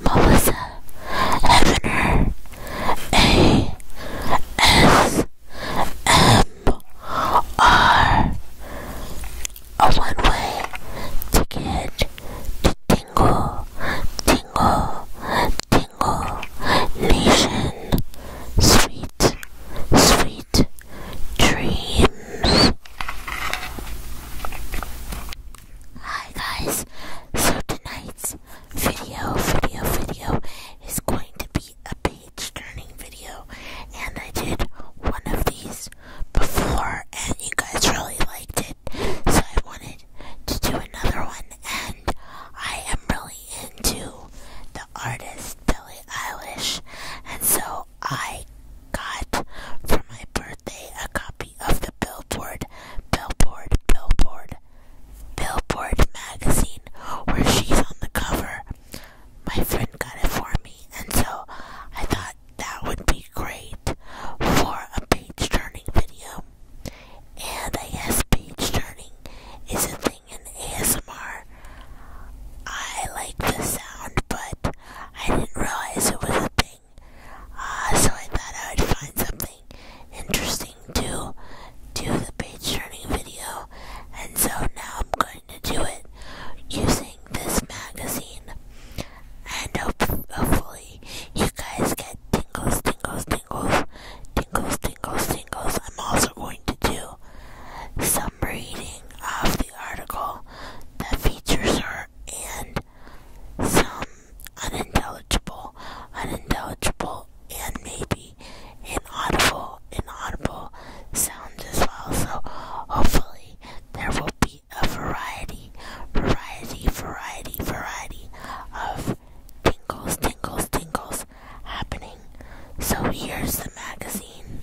Melissa Evener A S M R a one way ticket to Tingle Tingle Tingle Nation Sweet Sweet Dreams Hi guys, so tonight's video, video, video is going to be a page turning video and I did one of these before and you guys really liked it so I wanted to do another one and I am really into the artist Billie Eilish and so I got for my birthday a copy of the Bill. Billboard, Billboard, Billboard, magazine where she's on the cover. My friend got it for me, and so I thought that would be great for a page turning video. And I guess page turning is a thing in ASMR. I like the sound, but I didn't realize it was a thing something. Uh, so I thought I would find something interesting to do the page turning video, and so now I'm going to do it using this magazine. And hopefully, you guys get tingles, tingles, tingles, tingles, tingles, tingles. I'm also going to do some reading of the article that features her and some unintelligible, unintelligible, and maybe inaudible, inaudible sounds as well. So hopefully there will be a variety, variety, variety, variety of tingles, tingles, tingles happening. So here's the magazine.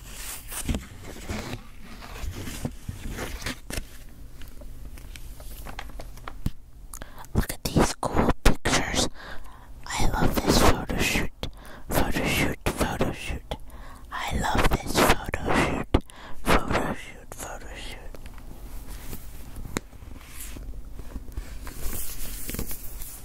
Look at these cool pictures. I love this photo shoot. Photo shoot, photo shoot. I love this photo shoot. Photo shoot, photo shoot.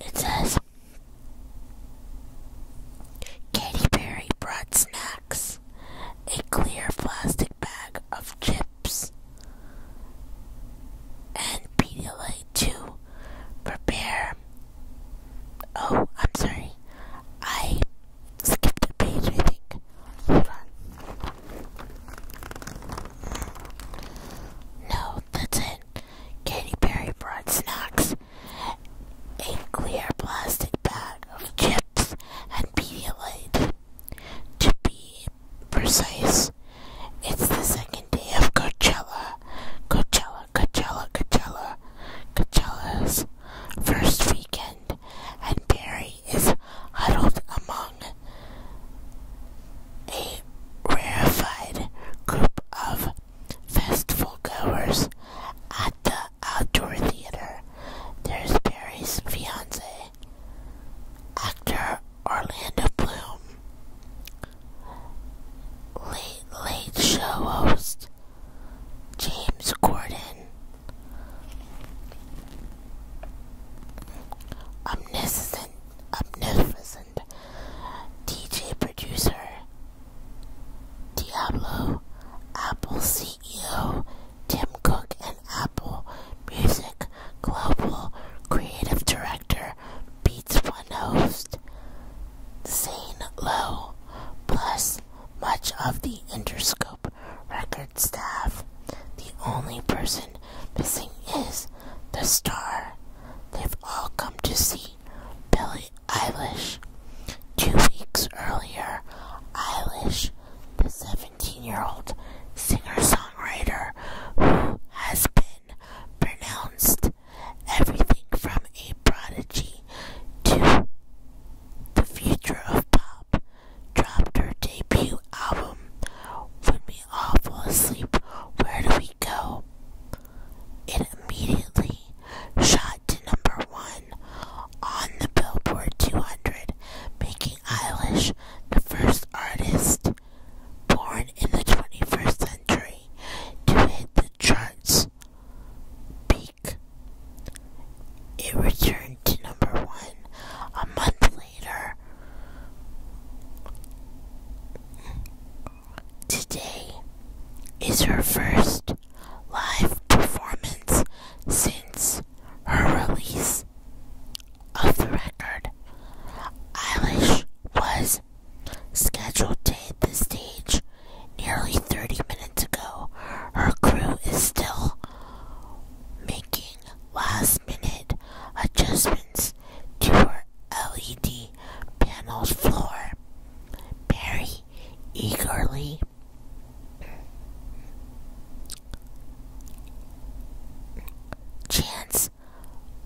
It says Katy Perry brought snacks, a clear plastic bag of chips, and Pedialyte to prepare Oh, I'm sorry. I skipped a page, I think. Hold on. No, that's it. Katy Perry brought snacks. A clear plastic bag of chips and Pedialyte. To be precise, it's the second day of Coachella. Coachella Coachella, Coachella, Coachella, Coachella's first weekend, and Barry is huddled among a rarefied group of festival goers at the outdoor theater. There's Barry's fiance, actor Orlando Bloom, late late show host. James Gordon. Omniscient, omnificent DJ producer, Diablo, Apple CEO, Tim Cook, and Apple Music Global Creative Director, beats one host, Zane Lowe, plus much of the Interscope record staff. The only person missing is the star. They've all come to see Billie Eilish. Two weeks earlier, Eilish, the 17 year old singer songwriter who has been pronounced everything from a prodigy to the future of pop, dropped her debut album, When We All Fall Asleep, Where Do We Go? It immediately shot to number one on the Billboard 200, making Eilish the first artist born in the 21st century to hit the chart's peak. It returned to number one a month later. Today is her first live performance since her release of the record. Eilish was Scheduled to hit the stage nearly 30 minutes ago, her crew is still making last minute adjustments to her LED panel's floor. Barry eagerly chants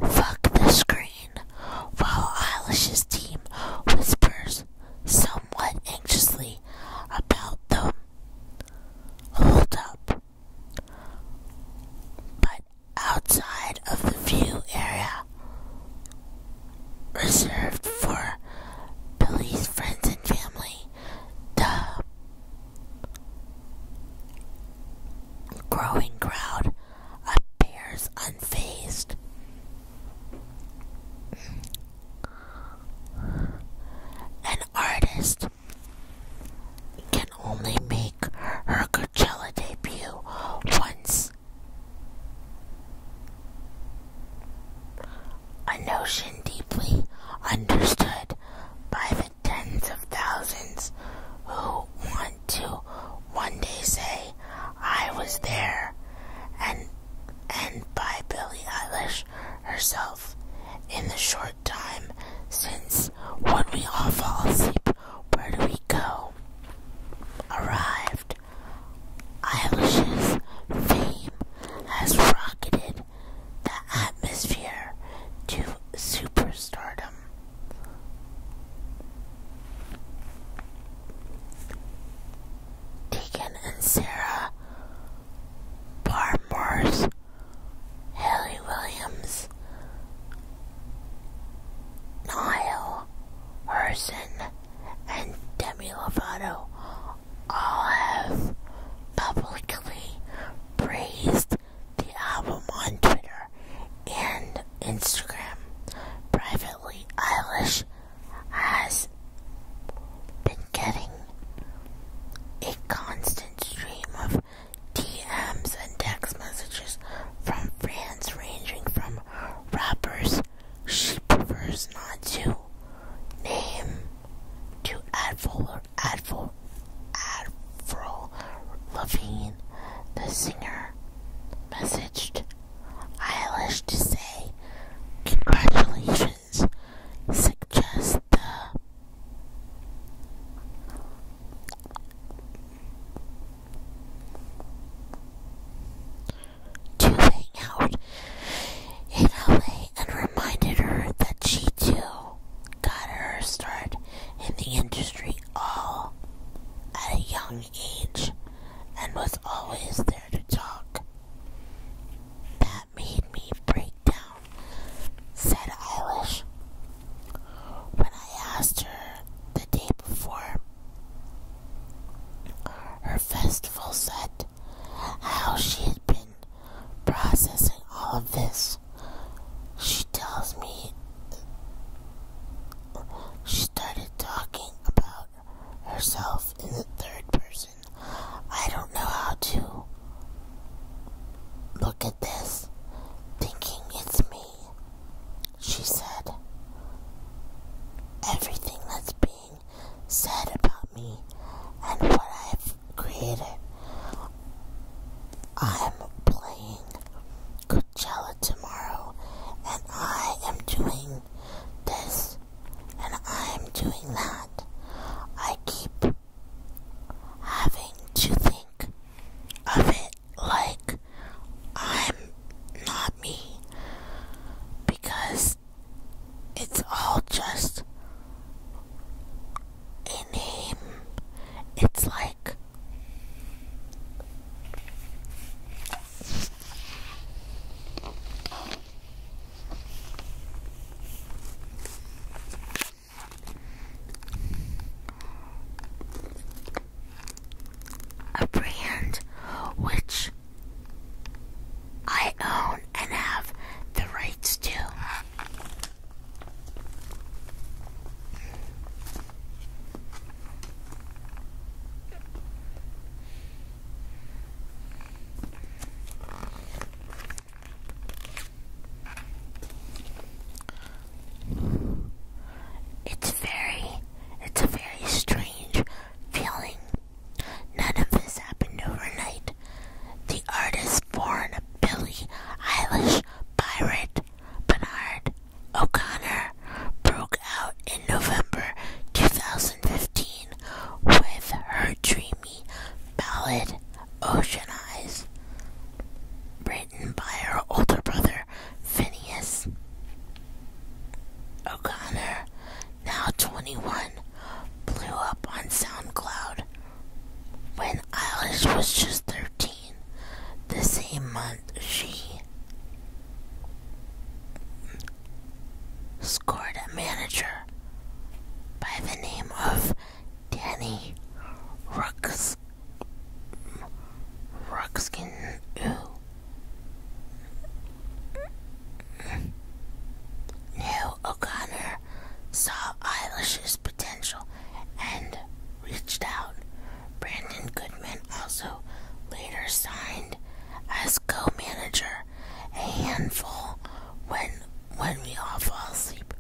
Fuck the screen, while Eilish's team whispers somewhat anxiously about the holdup. But outside of the view area reserved for Billy's friends and family, the growing crowd appears unfazed. An artist can only make her Coachella debut once. A notion deeply understood by the tens of thousands who want to one day say I was there and and by Billie Eilish herself in the short time since when we all fall asleep where do we go arrived Eilish's fame has rocketed the atmosphere to superstardom Deacon and Sarah Barmores, Haley Williams, Niall Herson, and Demi Lovato all have publicly praised the album on Twitter and Instagram. Privately, Eilish has been getting a constant stream of DMs and text messages from fans ranging from rappers she prefers not to name to Advil Advil Avril Lavigne, the singer Turner I wish to say congratulations, suggest to hang out in LA and reminded her that she too got her start in the industry all at a young age and was always there to talk. That made me break down, said Eilish. When I asked her the day before, her festival said how she had been processing all of this she tells me she started talking about herself in the third person. I don't know how to look at this thinking it's me. She said, Everything that's being said about me and what I've created I'm playing Coachella tomorrow, and I am doing this, and I am doing that. I keep having to think of it like I'm not me because it's all just a name. It's like a brand which I own and have the rights to. It's very, it's a very strange feeling. None of this happened overnight. The artist born a Billie Eilish pirate Bernard O'Connor broke out in November 2015 with her dreamy ballad Ocean Eyes, written by her older brother Phineas. O'Connor, now 21, blew up on SoundCloud when Alice was just 13, the same month she scored a manager by the name of Danny Rux Ruxkin who O'Connor saw Eilish's potential and reached out. Brandon Goodman also later signed as co-manager. A handful when when we all fall asleep,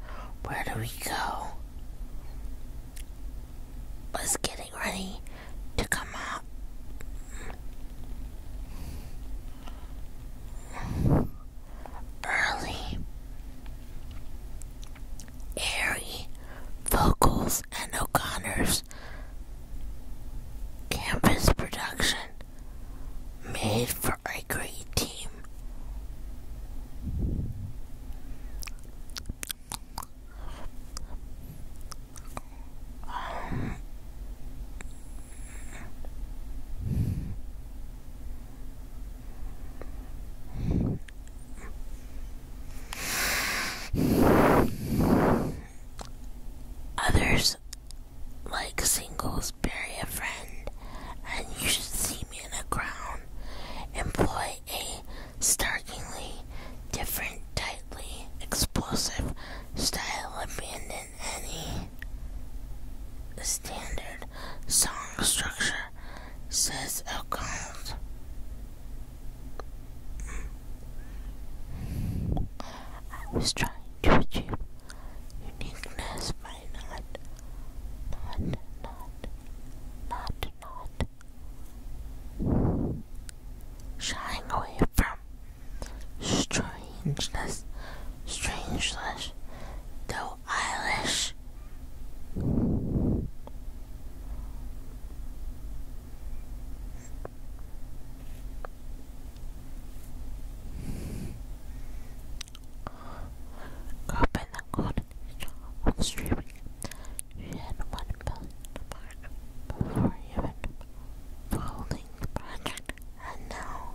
where do we go? Was getting ready to come out early, airy vocals and O'Connor's campus production made for a great team. Others, like singles, bury a friend, and you should see me in a crown. Employ a starkly different, tightly explosive style, abandon any standard song structure says account. Oh, I was trying to achieve uniqueness by not, not, not, not, shying away from strangeness, strangeness, the Billie Eilish. Up in the corner of streaming, she had one billion mark before even folding the project, and now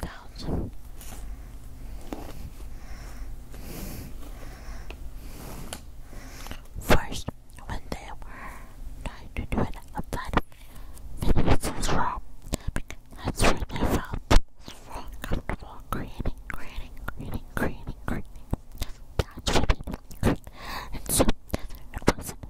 thousand First, when they were trying to do it outside of Minnesota's room, that's when they felt comfortable creating, creating, creating, creating, creating. That's what they And so, it wasn't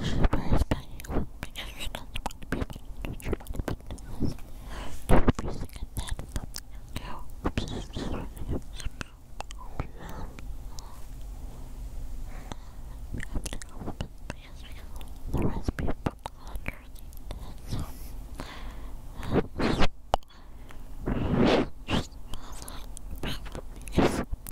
She was begging with she doesn't want to be abandoned. She wanted to be and that you. We have to go with this the recipe from Just nothing about this.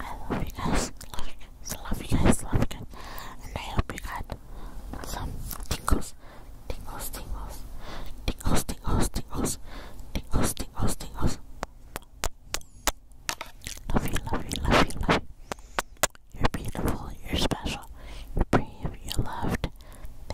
I love you guys. Love you guys. Love you guys. Love you guys. And I hope you got some tingles. Tingles, tingles. Tingles, tingles, tingles. Tingles, tingles, Love you, love you, love you, love you. You're beautiful. You're special. You're beautiful. You're loved.